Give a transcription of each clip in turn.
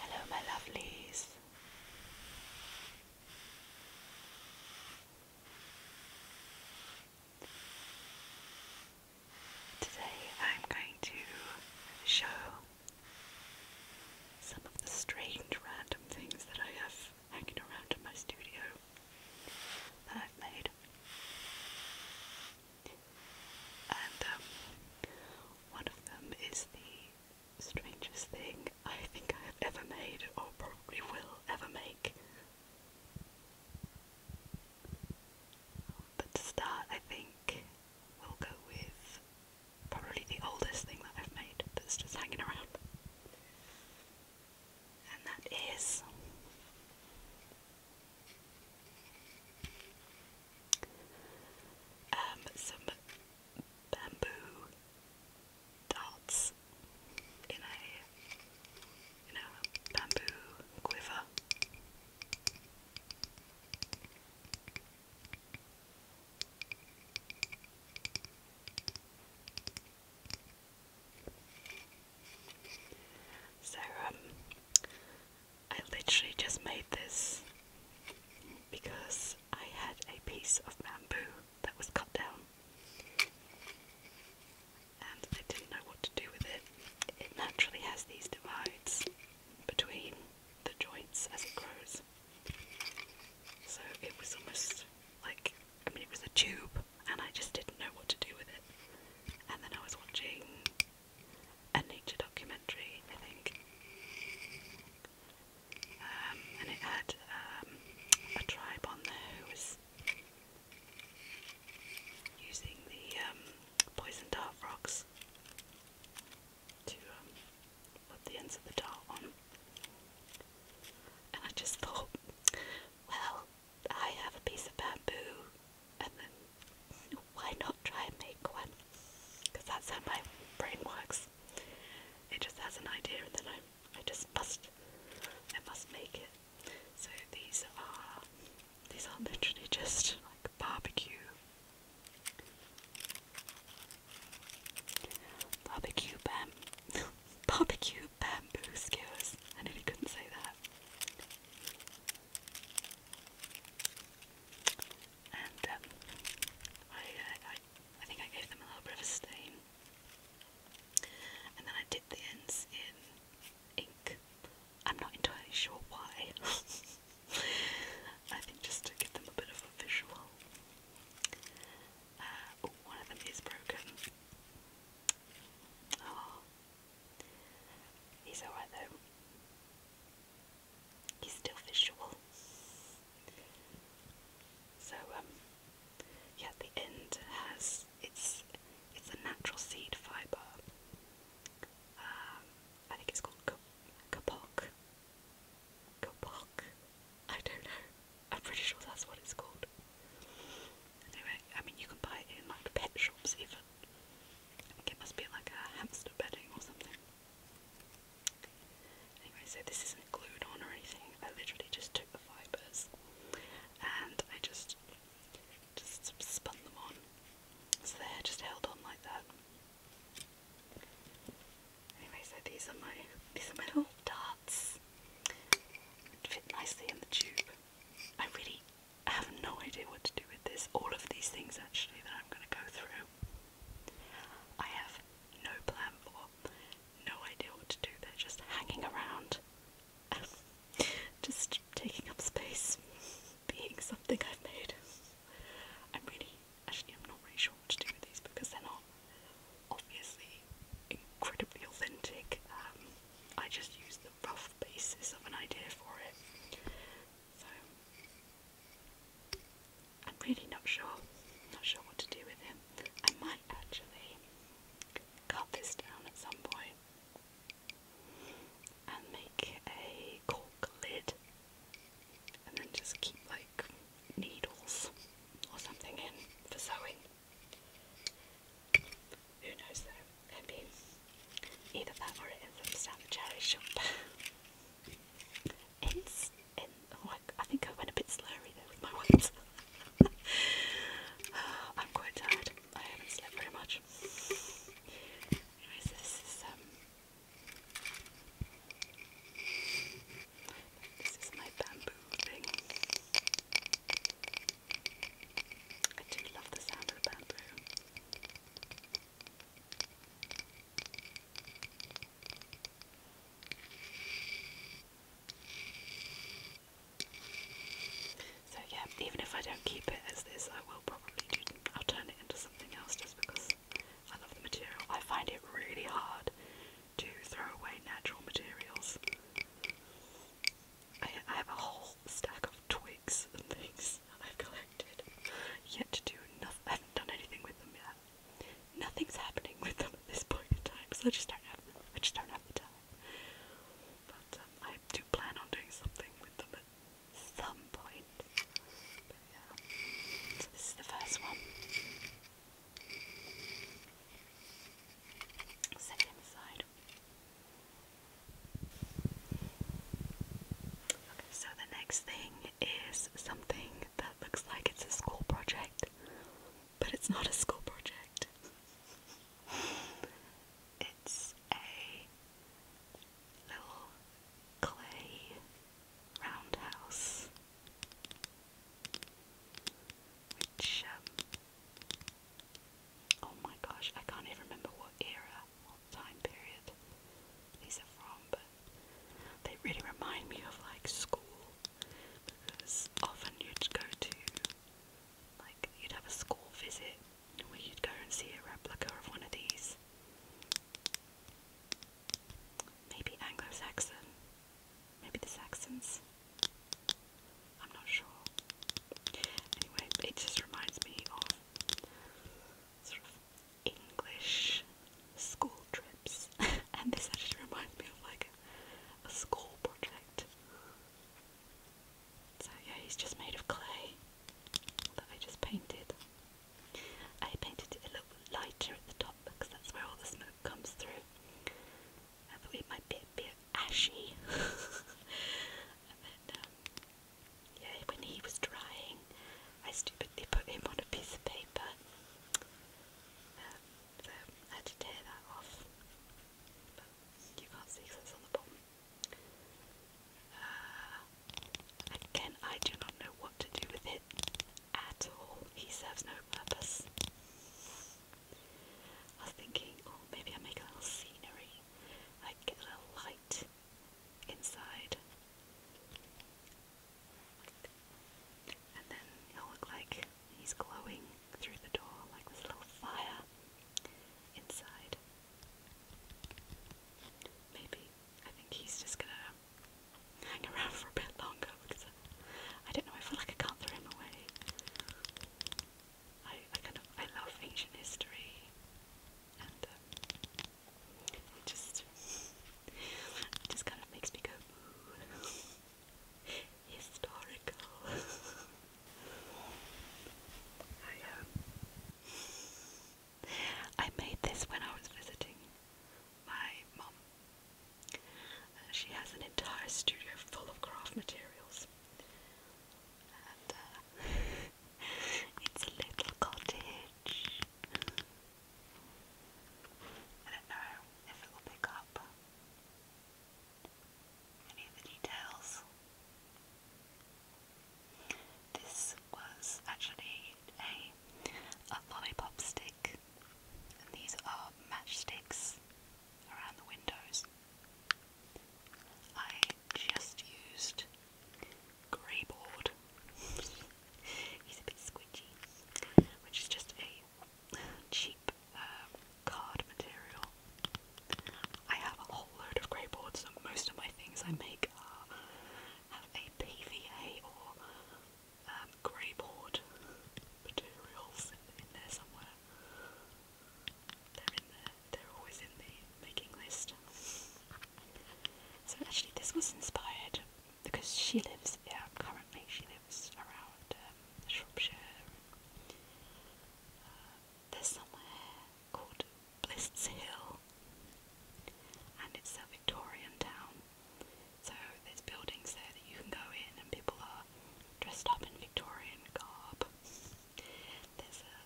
Hello, my lovelies. Today I'm going to show some of the strange random things that I have hanging around in my studio that I've made and um, one of them is the strangest thing I think I have ever made, or probably will ever make. But to start, I think we'll go with probably the oldest thing that I've made that's just hanging around. And that is um, some bamboo darts in a in a bamboo quiver. So um I literally just made this because I had a piece of bamboo that was cut down and I didn't know what to do with it. It naturally has these divides between the joints as it grows. So it was almost like, I mean, it was a tube and I just didn't know what to do with it. And then I was watching a nature documentary, I think. Um, and it had um, a tribe on there who was using the um, poison dart frogs to put the ends of the dart on. And I just thought, well, I have a piece of bamboo and then why not try and make one? Because that's how my brain works. It just has an idea and then I, I just must, I must make it. So these are, these are literally just like barbecue, barbecue bam, barbecue bamboo skewers. I nearly couldn't say that and um, I, uh, I, I think I gave them a little bit of a stain, and then I dipped the ends in ink. I'm not entirely sure why. I think just to give them a bit of a visual. oh, one of them is broken. Oh, He's alright though. He's still visual. So um, yeah the end has it's it's a natural seed fibre. Um, I think it's called kapok. Kapok? I don't know. I'm pretty sure that's what it's called. Anyway, I mean you can buy in like pet shops even. it must be like a hamster bedding or something. Anyway, so this isn't glued on or anything. I literally just took the fibres and I just just spun them on. So they're just held on like that. Anyway, so these are my these are my little darts. Fit nicely in the tube. I really I have no idea what to do with this. All of these things actually that I'm going to go through, I have no plan for, no idea what to do. They're just hanging around, just taking up space, being something I've made. I'm really, actually, I'm not really sure what to do with these because they're not obviously incredibly authentic. Um, I just use the rough basis of an idea for it. So I'm really not sure, not sure what to do with him. I might actually cut this down at some point and make a cork lid and then just keep like needles or something in for sewing. Who knows though? Could be either that or it influenced the cherry shop. it's in oh, I, think I went a bit slurry there with my words. Oh, I'm quite tired. I haven't slept very much. Anyways, this is um this is my bamboo thing. I do love the sound of bamboo. So yeah, even if I don't keep it as this, I will probably I'll turn it into something else just because I love the material. I find it really hard to throw away natural materials. I, have a whole stack of twigs and things I've collected, yet to do nothing. I haven't done anything with them yet. Nothing's happening with them at this point in time, so I just don't have the, I just don't have the time. But um, I do plan on doing something with them at some point. But yeah. this is the first one so the next thing is something that looks like it's a school project, but it's not a school project. It's a little clay roundhouse, which um, Oh my gosh, I can't even remember what era, what time period these are from, but they really remind me of like school because often you'd go to, like, you'd have a school visit where you'd go and see a replica of one of these. Maybe Anglo Saxon. Maybe the Saxons. I'm not sure. Anyway, it just reminds me of sort of English school trips, and this actually reminds me of like a school project. So yeah, he's just made of clay that I just painted. I painted it a little lighter at the top because that's where all the smoke comes through. I it might be a bit ashy. and then, um, yeah, when he was drying, I stupidly put him on a piece of paper. Um, so I had to tear that off. you can't see because on the bottom. Uh, again, I do not know what to do with it at all. He serves no purpose. I was thinking, oh, maybe I make a little scenery. I a little light inside. And then it'll look like he's glowing through the door, like there's little fire inside. Maybe. I think he's just gonna hang around for a bit longer because I don't know, I feel like I can't throw him away. I, kind of I love ancient history, and um, just just kind of makes me go historical. Um, I made this when I was visiting my mum uh, she has an entire studio full of craft materials. Uh, it's a little cottage. I don't know if it will pick up any of the details. This was actually a lollipop stick, and these are matchsticks around the windows. I just used grey board. He's a bit squidgy, which is just a cheap um, card material. I have a whole load of grey boards, and most of my things I make are have a PVA or um, grey board materials in, there somewhere. They're in there, they're always in the making list. So actually this was inspired because she lives, yeah, currently she lives around um, Shropshire. Uh, there's somewhere called Bliss Hill and it's a Victorian town so there's buildings there that you can go in and people are dressed up in Victorian garb. There's a,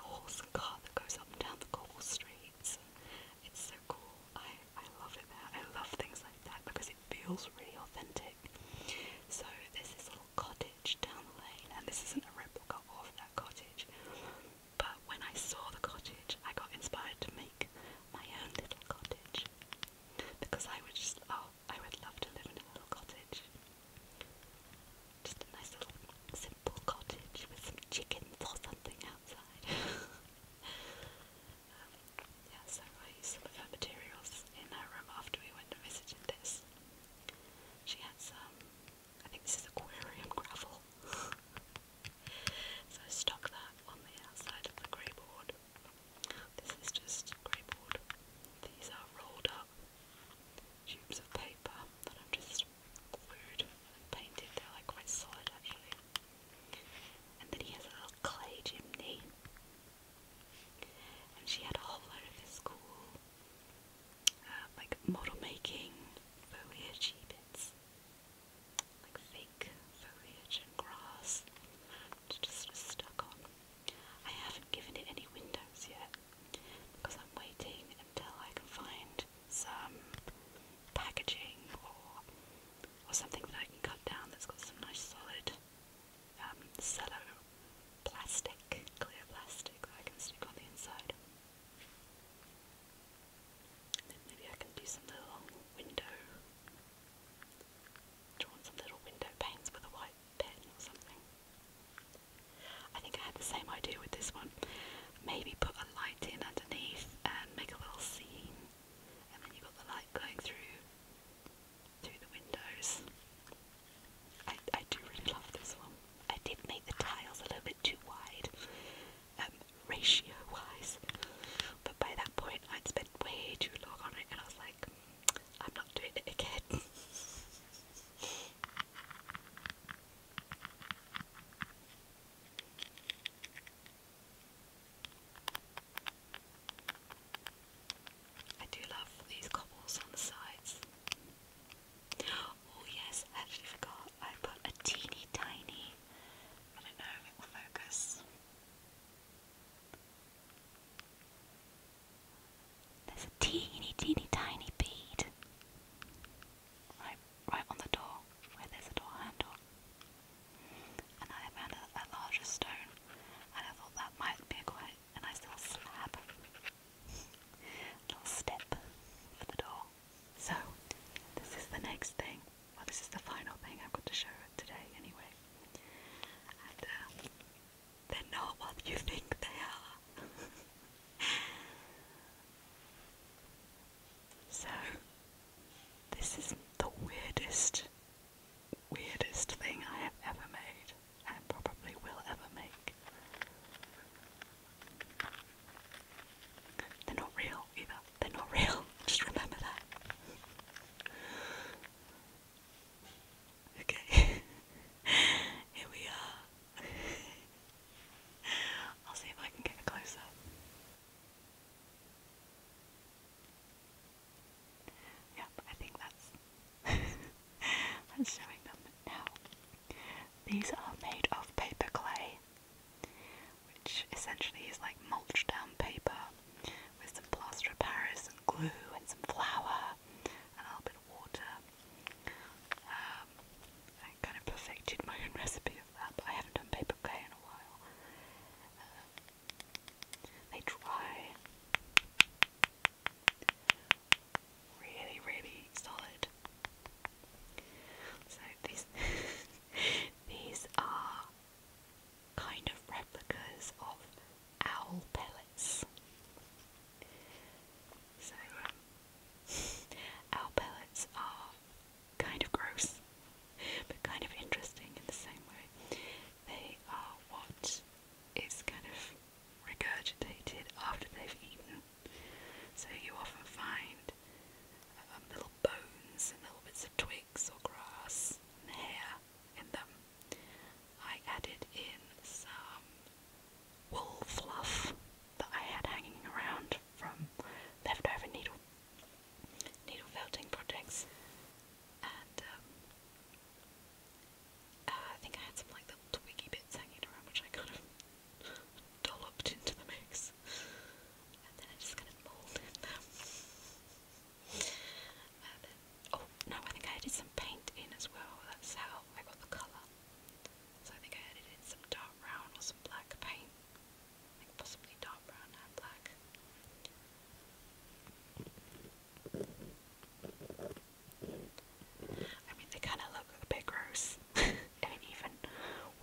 horse and cart that goes up and down the cobble streets. It's so cool. I, I love it there. I love things like that because it feels really authentic. So there's this little cottage down the lane and this isn't a replica of that cottage. But when I saw the cottage, I got inspired to make my own little cottage because I would just oh I would love to live in a little cottage. Just a nice little simple cottage with some chickens or something outside. Um, yeah, so I used some of her materials in her room after we went and visited this. She had some, I think this is aquarium gravel. so I stuck that on the outside of the grey board. This is just greyboard. These are rolled up tubes of paper that I've just glued painted. They're like quite solid actually. And then he has a little clay chimney. And she had a whole load of this cool, uh, like model making foliage bits like fake foliage and grass just stuck on. I haven't given it any windows yet because I'm waiting until I can find some packaging or or something that I can cut down that's got some nice solid um, cello plastic, clear plastic I can stick on the inside. Then maybe I can do some little window drawn some little window panes with a white pen or something. I think I had the same idea with this one. Maybe put a light in underneath and make a little scene, and then you've got the light going through through the windows. I, I do really love this one. I did make the tiles a little bit too wide. Um, ratio wise. But by that point, I'd spent way too long on it, and I was like, I'm not doing it again. I do love these cobbles on the sides. Oh yes, I actually forgot. I put a teeny tiny, I don't know it will focus. There's a teeny, teeny, tiny bead right, right on the door where there's a door handle. And I found a, larger stone, and I thought that might be a quite a nice little slab, little step for the door. So, this is the next thing. Well, this is the final thing I've got to show today, anyway. Uh, they're not what you think they are. so, this is the weirdest, weirdest thing I have ever made, and probably will ever make. They're not real either. They're not real. Just remember that. Okay. Here we are. I'll see if I can get a close up. Yep, I think that's that's showing them now. These are made of paper clay which essentially is like mulch down paper with some plaster of Paris and glue and some flour and a little bit of water. Um, I kind of perfected my own recipe of that, but I haven't done paper clay in a while. Um, they dry really, really solid. So these These are kind of replicas of owl pellets. So, um, owl pellets are kind of gross, but kind of interesting in the same way. They are what is kind of regurgitated after they've eaten. So you often find um, little bones and little bits of twigs or grass and hair in them. I added in some wool fluff that I had hanging around from leftover needle needle felting projects, and um, uh, I think I had some like little twiggy bits hanging around, which I kind of dolloped into the mix. And then I just kind of molded them. oh, no, I think I added some paint in as well. That's how I got the colour. So I think I added in some dark brown or some black paint. I possibly dark brown and black. I mean, they kind of look a bit gross. I mean, even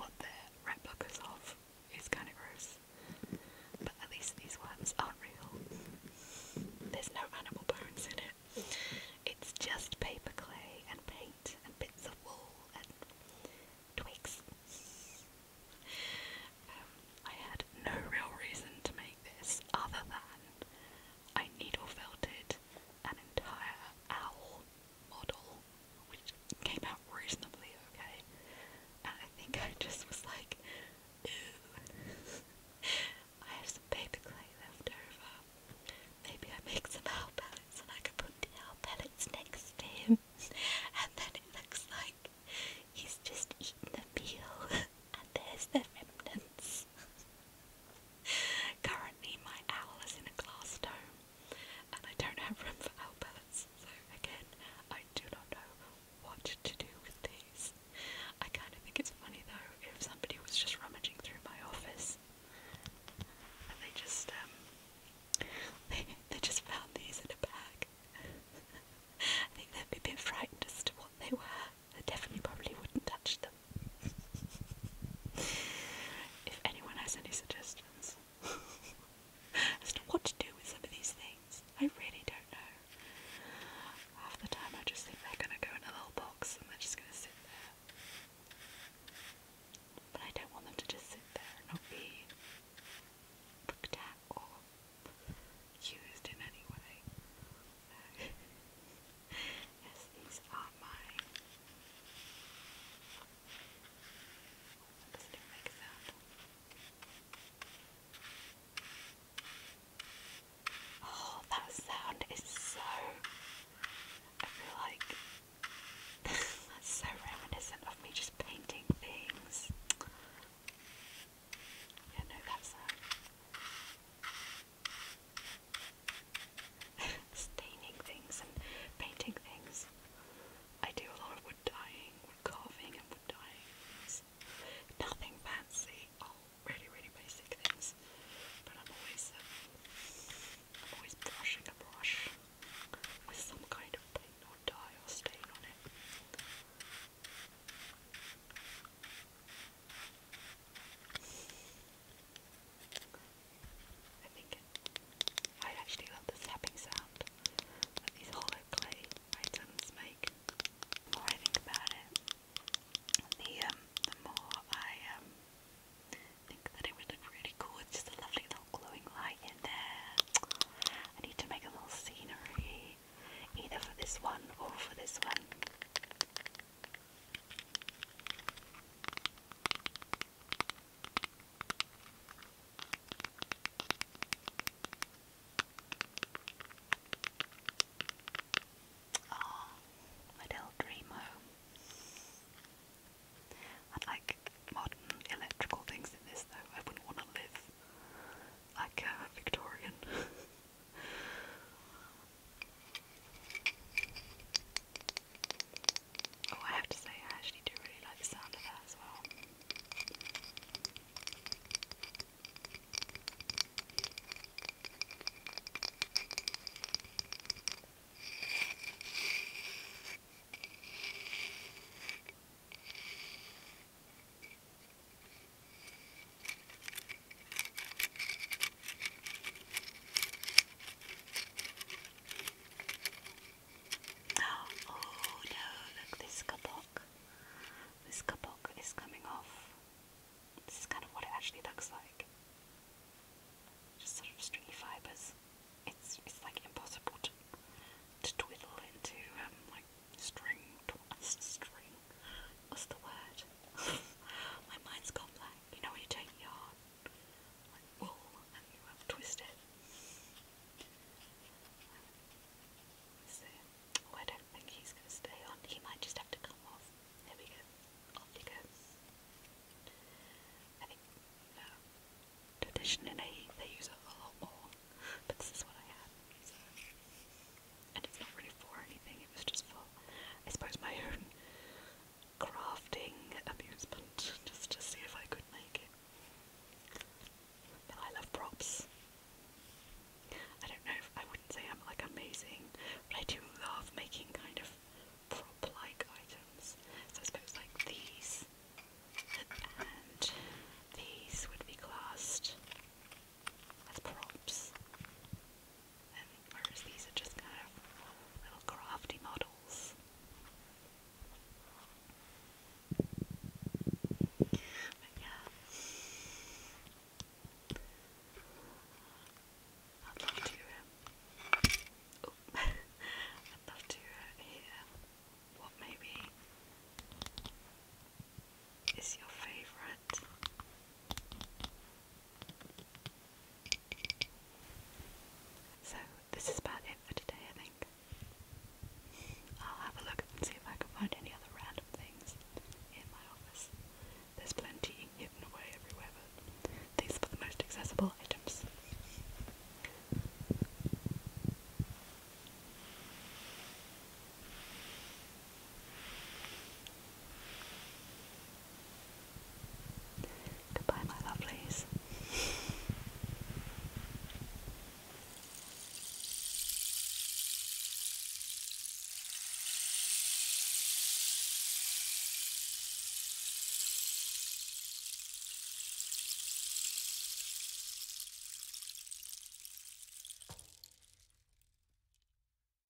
what they're replicas of it's kind of gross. But at least these ones aren't real. There's no animal bones in it. It's just paper clay and paint and bits of wool and twigs. Um, I had no real reason to make this other than I needle felted an entire owl model, which came out reasonably okay. And I think I just was like, ooh, I have some paper clay left over. Maybe I make some owl pellets and I could put the owl pellets next to him. And then it looks like he's just eaten a meal and there's the remnants. Currently, my owl is in a glass dome and I don't have room for outbelts, so again, I do not know what to do with these. I kind of think it's funny though if somebody was just rummaging through my office and they just um they they just found these in a bag. I think they'd be a bit frightened as to what they were. They definitely probably wouldn't touch them. if anyone has any suggestions, as to what to do with some of these things. I really don't know. Half the time I just think they're going to go in a little box and they're just going to sit there. But I don't want them to just sit there and not be looked at or used in any way. yes, these are my that? Oh, that sound is so. I feel like that's so reminiscent of me just painting things. Yeah, no, that staining things and painting things. I do a lot of wood dyeing, wood carving, and wood dyeing. It's nothing fancy, all oh, really, really basic things. But I'm always, um, always brushing a brush with some kind of paint or dye or stain on it. I think I actually love the slapping sound that these hollow clay items make. The more I think about it, the um, more I um, think that it would look really cool. It's just a lovely little glowing light in there. I need to make a little scenery, either for this one or for this one. Oh, my little dreamo. I'd like modern electrical things in this though. I wouldn't want to live like a Victorian. Oh, I have to say, I actually do really like the sound of that as well. Oh, oh no, look, this kabok. This kabok is coming off. This is kind of what it actually looks like. Just sort of stringy fibers. It's it's like impossible to to twiddle into um like string twice string. What's the word? My mind's gone blank. You know when you take your like and you have twisted. I don't think he's going to stay on. He might just have to come off. There we go. Off he goes. I think um, traditionally they use a lot more, but this is what I had. And it's not really for anything, it was just for, I suppose, my own crafting amusement just to see if I could make it. I love props. I don't know I wouldn't say I'm like amazing, but I do love making kind of prop like items. So I suppose like these and these would be classed as props. Um, these are just kind of little crafty models. But yeah. I'd love to, um, oh, I'd love to uh, hear what maybe is your favourite so, this is about it for today, I think. I'll have a look and see if I can find any other random things in my office. There's plenty hidden away everywhere, but these are the most accessible items. Goodbye, my lovelies.